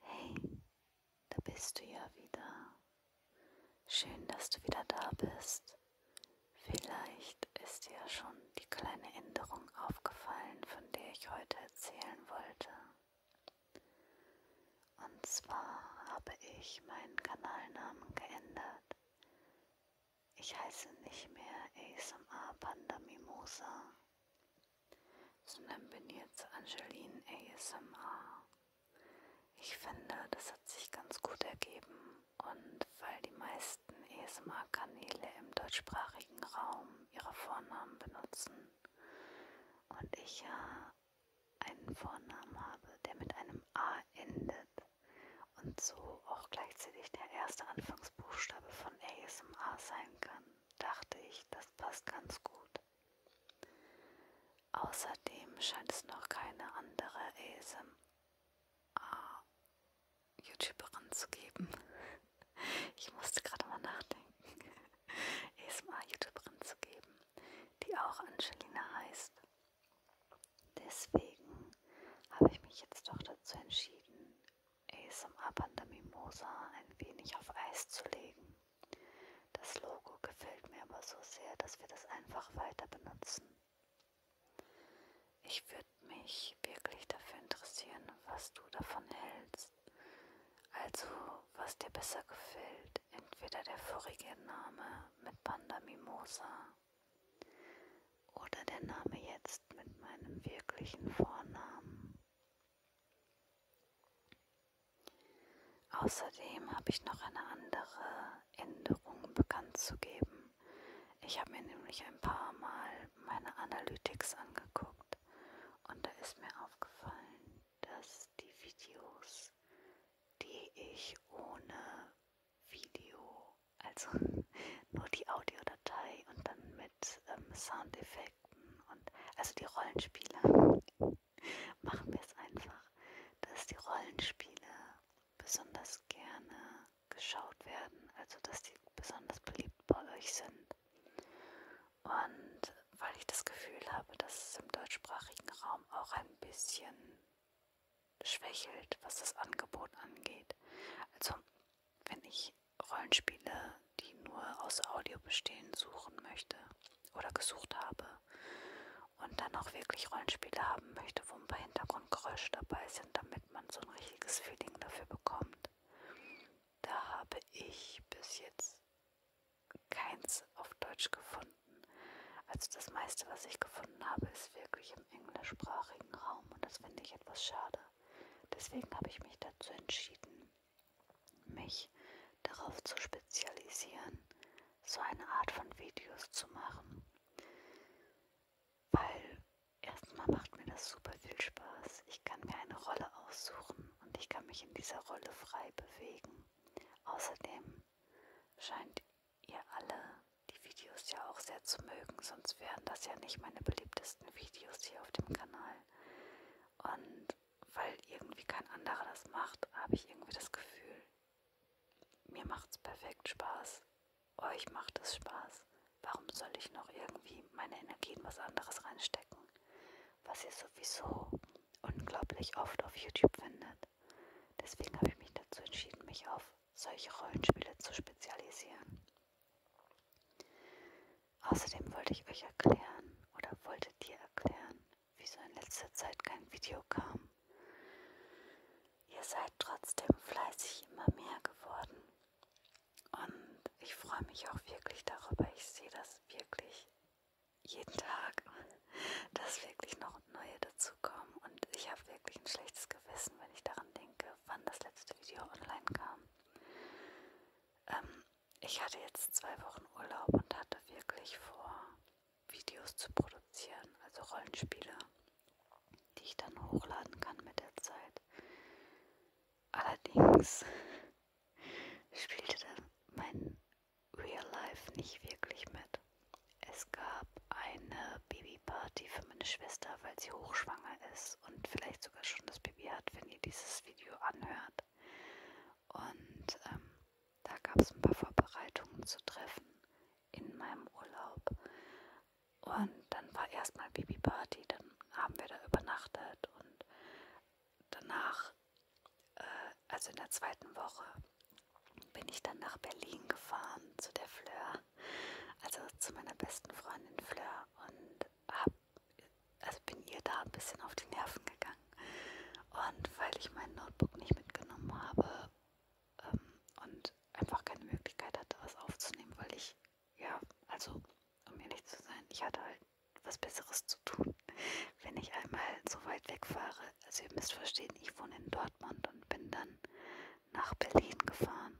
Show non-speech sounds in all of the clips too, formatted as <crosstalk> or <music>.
Hey, da bist du ja wieder. Schön, dass du wieder da bist. Vielleicht ist dir schon die kleine Änderung aufgefallen, von der ich heute erzählen wollte. Und zwar habe ich meinen Kanalnamen geändert. Ich heiße nicht mehr ASMR Panda Mimosa, sondern bin jetzt Angeline ASMR. Ich finde, das hat sich ganz gut ergeben und weil die meisten ASMR-Kanäle im deutschsprachigen Raum ihre Vornamen benutzen und ich ja einen Vornamen habe, der mit einem A endet und so auch gleichzeitig der erste Anfangsbuchstabe von ASMR sein kann, dachte ich, das passt ganz gut. Außerdem scheint es noch keine andere ASMR-YouTuberin zu geben. Ich musste gerade mal nachdenken, ASMR-YouTuberin <laughs> zu geben die auch Angelina heißt. Deswegen habe ich mich jetzt doch dazu entschieden, ASMR Panda Mimosa ein wenig auf Eis zu legen. Das Logo gefällt mir aber so sehr, dass wir das einfach weiter benutzen. Ich würde mich wirklich dafür interessieren, was du davon hältst. Also was dir besser gefällt, entweder der vorige Name mit Panda Mimosa oder der Name jetzt mit meinem wirklichen Vornamen. Außerdem habe ich noch eine andere Änderung bekannt zu geben. Ich habe mir nämlich ein paar Mal meine Analytics angeguckt und da ist mir aufgefallen, dass die Videos Videos, die ich ohne Video, also <laughs> nur die Audiodatei und dann mit ähm, Soundeffekten und also die Rollenspiele. <laughs> Machen wir es einfach, dass die Rollenspiele besonders gerne geschaut werden, also dass die besonders beliebt bei euch sind. Und weil ich das Gefühl habe, dass es im deutschsprachigen Raum auch ein bisschen schwächelt, was das Angebot angeht. Also wenn ich Rollenspiele, die nur aus Audio bestehen, suchen möchte oder gesucht habe und dann auch wirklich Rollenspiele haben möchte, wo ein paar Hintergrundgeräusche dabei sind, damit man so ein richtiges Feeling dafür bekommt, da habe ich bis jetzt keins auf Deutsch gefunden. Also das meiste, was ich gefunden habe, ist wirklich im englischsprachigen Raum und das finde ich etwas schade. Deswegen habe ich mich dazu entschieden, mich darauf zu spezialisieren, so eine Art von Videos zu machen. Weil erstmal macht mir das super viel Spaß. Ich kann mir eine Rolle aussuchen und ich kann mich in dieser Rolle frei bewegen. Außerdem scheint ihr alle die Videos ja auch sehr zu mögen, sonst wären das ja nicht meine beliebtesten Videos hier auf dem Kanal. Und weil irgendwie kein anderer das macht, habe ich irgendwie das Gefühl, mir macht's perfekt Spaß, euch macht es Spaß. Warum soll ich noch irgendwie meine Energie in was anderes reinstecken? was ihr sowieso unglaublich oft auf YouTube findet. Deswegen habe ich mich dazu entschieden, mich auf solche Rollenspiele zu spezialisieren. Außerdem wollte ich euch erklären oder wollte dir erklären, wieso in letzter Zeit kein Video kam. Ihr seid trotzdem fleißig immer mehr geworden. Und ich freue mich auch wirklich darüber. Ich sehe das wirklich jeden Tag, <laughs> dass wirklich noch neue dazukommen. Und ich habe wirklich ein schlechtes Gewissen, wenn ich daran denke, wann das letzte Video online kam. Ähm, ich hatte jetzt zwei Wochen Urlaub und hatte wirklich vor, Videos zu produzieren, also Rollenspiele, die ich dann hochladen kann mit der Zeit. Allerdings spielte dann mein Real Life nicht wirklich mit. Es gab eine Babyparty für meine Schwester, weil sie hochschwanger ist und vielleicht sogar schon das Baby hat, wenn ihr dieses Video anhört. Und ähm, da gab es ein paar Vorbereitungen zu treffen in meinem Urlaub. Und dann war erstmal Babyparty, dann ähm, haben wir da übernachtet und danach, äh, also in der zweiten Woche, bin ich dann nach Berlin gefahren zu der Fleur, also zu meiner besten Freundin Fleur und hab, also bin ihr da ein bisschen auf die Nerven gegangen. Und weil ich mein Notebook nicht mitgenommen habe ähm, und einfach keine Möglichkeit hatte, was aufzunehmen, weil ich ja, also, um ehrlich zu sein, ich hatte halt was Besseres zu tun, wenn ich einmal so weit wegfahre. Also ihr müsst verstehen, ich wohne in Dortmund und bin dann nach Berlin gefahren.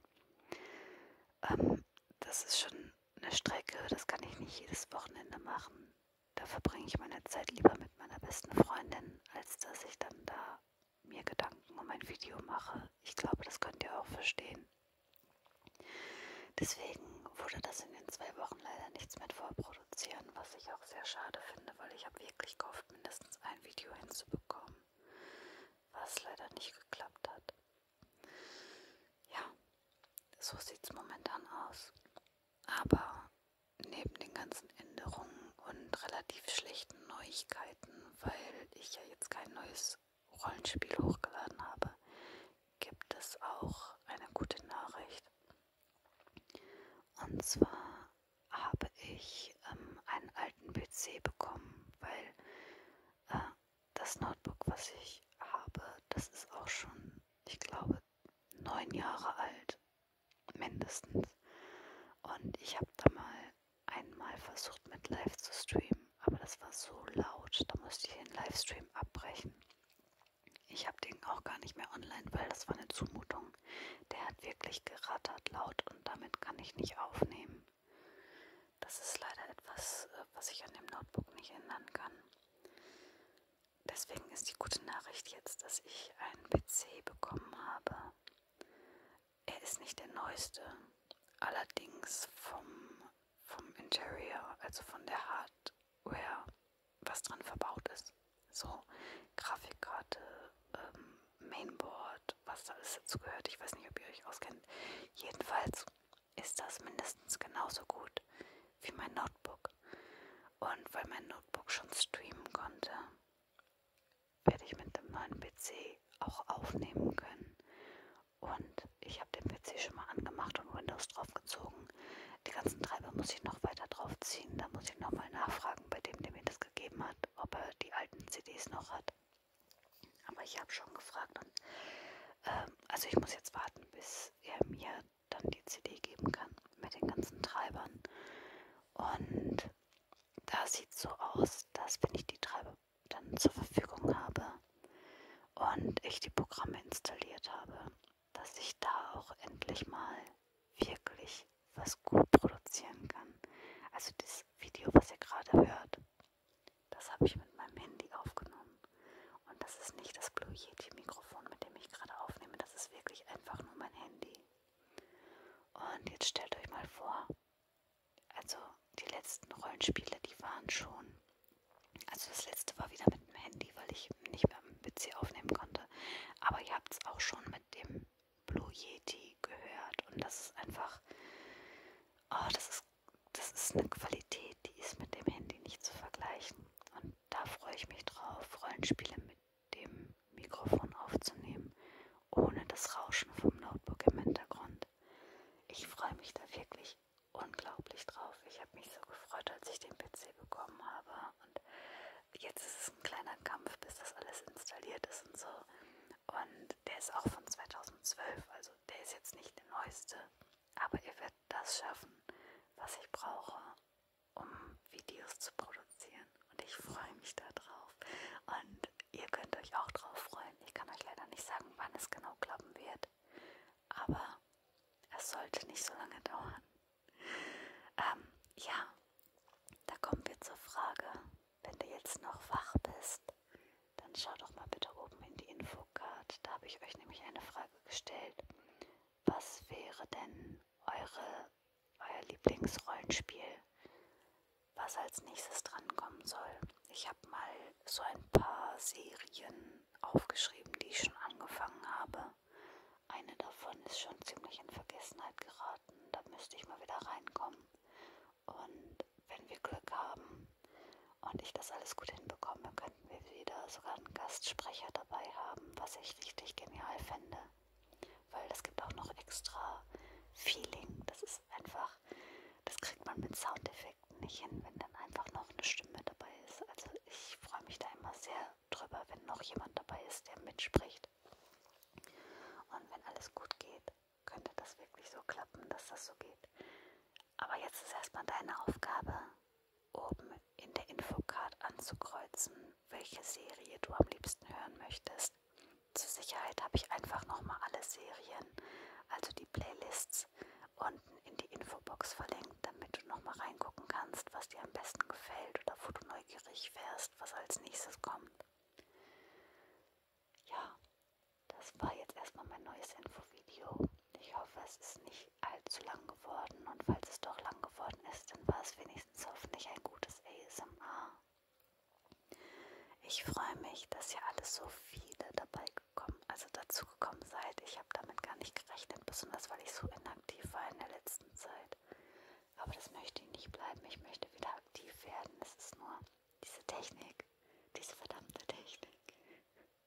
Ähm, das ist schon eine Strecke, das kann ich nicht jedes Wochenende machen. Da verbringe ich meine Zeit lieber mit meiner besten Freundin, als dass ich dann da mir Gedanken um ein Video mache. Ich glaube, das könnt ihr auch verstehen. Deswegen wurde das in den zwei Wochen leider nichts mit vorproduzieren, was ich auch sehr schade finde, weil ich habe wirklich gehofft, mindestens ein Video hinzubekommen, was leider nicht geklappt hat. Ja, so sieht es momentan aus. Aber neben den ganzen Änderungen und relativ schlechten Neuigkeiten, weil ich ja jetzt kein neues Rollenspiel hochgeladen habe, gibt es auch eine gute Nachricht. Und zwar habe ich ähm, einen alten PC bekommen, weil äh, das Notebook, was ich habe, das ist auch schon, ich glaube, neun Jahre alt, mindestens. Und ich habe da mal einmal versucht mit live zu streamen, aber das war so laut, da musste ich den Livestream abbrechen. Ich habe den auch gar nicht mehr online, weil das war eine Zumutung. Der hat wirklich gerattert laut und damit kann ich nicht aufnehmen. Das ist leider etwas, äh, was ich an dem Notebook nicht ändern kann. Deswegen ist die gute Nachricht jetzt, dass ich einen PC bekommen habe. Er ist nicht der neueste, allerdings vom, vom Interior, also von der Hardware, was dran verbaut ist. So, Grafikkarte, ähm, Mainboard, was da alles dazu gehört. Ich weiß nicht, ob ihr euch auskennt. Jedenfalls ist das mindestens genauso gut wie mein Notebook. Und weil mein Notebook schon streamen konnte, werde ich mit dem neuen PC auch aufnehmen können. Und ich habe den PC schon mal angemacht und Windows draufgezogen. Die ganzen Treiber muss ich noch weiter draufziehen. Da muss ich nochmal nachfragen bei dem, der mir das gegeben hat, ob er die alten CDs noch hat. Aber ich habe schon gefragt und ähm, also ich muss jetzt warten, bis er mir dann die CD geben kann mit den ganzen Treibern. Und da sieht so aus, dass wenn ich die drei dann zur Verfügung habe und ich die Programme installiert habe, dass ich da auch endlich mal wirklich was gut produzieren kann. Also das Video, was ihr gerade hört, das habe ich mit meinem Handy aufgenommen. Und das ist nicht das Blue Yeti Mikrofon, mit dem ich gerade aufnehme, das ist wirklich einfach nur mein Handy. Und jetzt stellt euch mal vor, also die letzten Rollenspiele, die waren schon. Also das letzte war wieder mit dem Handy, weil ich nicht mehr am PC aufnehmen konnte. Aber ihr habt es auch schon mit dem Blue Yeti gehört. Und das ist einfach, oh, das ist, das ist eine Qualität, die ist mit dem Handy nicht zu vergleichen. Und da freue ich mich drauf, Rollenspiele mit dem Mikrofon aufzunehmen, ohne das Rauschen vom Notebook im Hintergrund. Ich freue mich da wirklich unglaublich drauf. Ich habe mich so gefreut, als ich den PC bekommen habe. Und jetzt ist es ein kleiner Kampf, bis das alles installiert ist und so. Und der ist auch von 2012, also der ist jetzt nicht der neueste. Aber ihr werdet das schaffen, was ich brauche, um Videos zu produzieren und ich freue mich darauf. Und ihr könnt euch auch drauf freuen. Ich kann euch leider nicht sagen, wann es genau klappen wird, aber es sollte nicht so lange dauern. Ähm, ja, da kommen wir zur Frage. Wenn du jetzt noch wach bist, dann schau doch mal bitte oben in die Infocard. Da habe ich euch nämlich eine Frage gestellt. Was wäre denn eure euer Lieblingsrollenspiel, was als nächstes drankommen soll. Ich habe mal so ein paar Serien aufgeschrieben, die ich schon angefangen habe. Eine davon ist schon ziemlich in Vergessenheit geraten. Da müsste ich mal wieder reinkommen. Und wenn wir Glück haben und ich das alles gut hinbekomme, könnten wir wieder sogar einen Gastsprecher dabei haben, was ich richtig genial fände weil das gibt auch noch extra Feeling. Das ist einfach, das kriegt man mit Soundeffekten nicht hin, wenn dann einfach noch eine Stimme dabei ist. Also ich freue mich da immer sehr drüber, wenn noch jemand dabei ist, der mitspricht. Und wenn alles gut geht, könnte das wirklich so klappen, dass das so geht. Aber jetzt ist erstmal deine Aufgabe, oben in der Infocard anzukreuzen, welche Serie du am liebsten hören möchtest. Zur Sicherheit habe ich einfach nochmal alle Serien, also die Playlists, unten in die Infobox verlinkt, damit du nochmal reingucken kannst, was dir am besten gefällt oder wo du neugierig wärst, was als nächstes kommt. Ja, das war jetzt erstmal mein neues Infovideo. Ich hoffe, es ist nicht allzu lang geworden und falls es doch lang geworden ist, dann war es wenigstens hoffentlich ein gutes ASMR. Ich freue mich, dass ihr alle so viele dabei gekommen, also dazu gekommen seid. Ich habe damit gar nicht gerechnet, besonders weil ich so inaktiv war in der letzten Zeit. Aber das möchte ich nicht bleiben. Ich möchte wieder aktiv werden. Es ist nur diese Technik, diese verdammte Technik.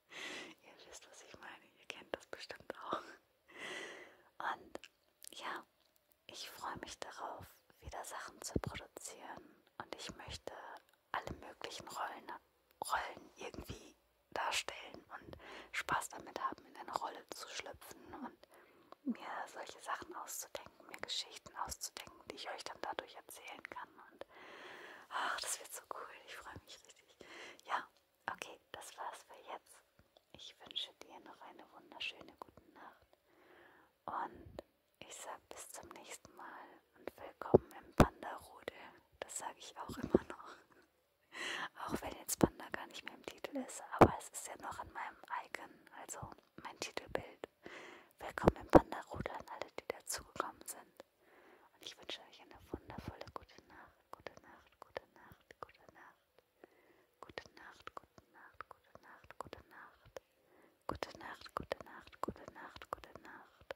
<laughs> ihr wisst, was ich meine. Ihr kennt das bestimmt auch. Und ja, ich freue mich darauf, wieder Sachen zu produzieren. Und ich möchte alle möglichen Rollen, Rollen irgendwie darstellen und Spaß damit haben, in eine Rolle zu schlüpfen und mir solche Sachen auszudenken, mir Geschichten auszudenken, die ich euch dann dadurch erzählen kann. Und ach, das wird so cool. Ich freue mich richtig. Ja, Okay, das war's für jetzt. Ich wünsche dir noch eine wunderschöne gute Nacht. Und ich sag bis zum nächsten Mal und willkommen im Panda-Rudel. Das sage ich auch immer noch. Auch wenn jetzt Panda gar nicht mehr im Titel ist, aber es ist ja noch an meinem Icon, also mein Titelbild. Willkommen im Panda-Rudel an alle, die dazugekommen sind. Und ich wünsche euch eine wundervolle gute Nacht, gute Nacht, gute Nacht, gute Nacht. Gute Nacht, gute Nacht, gute Nacht, gute Nacht. Gute Nacht, gute Nacht, gute Nacht, gute Nacht.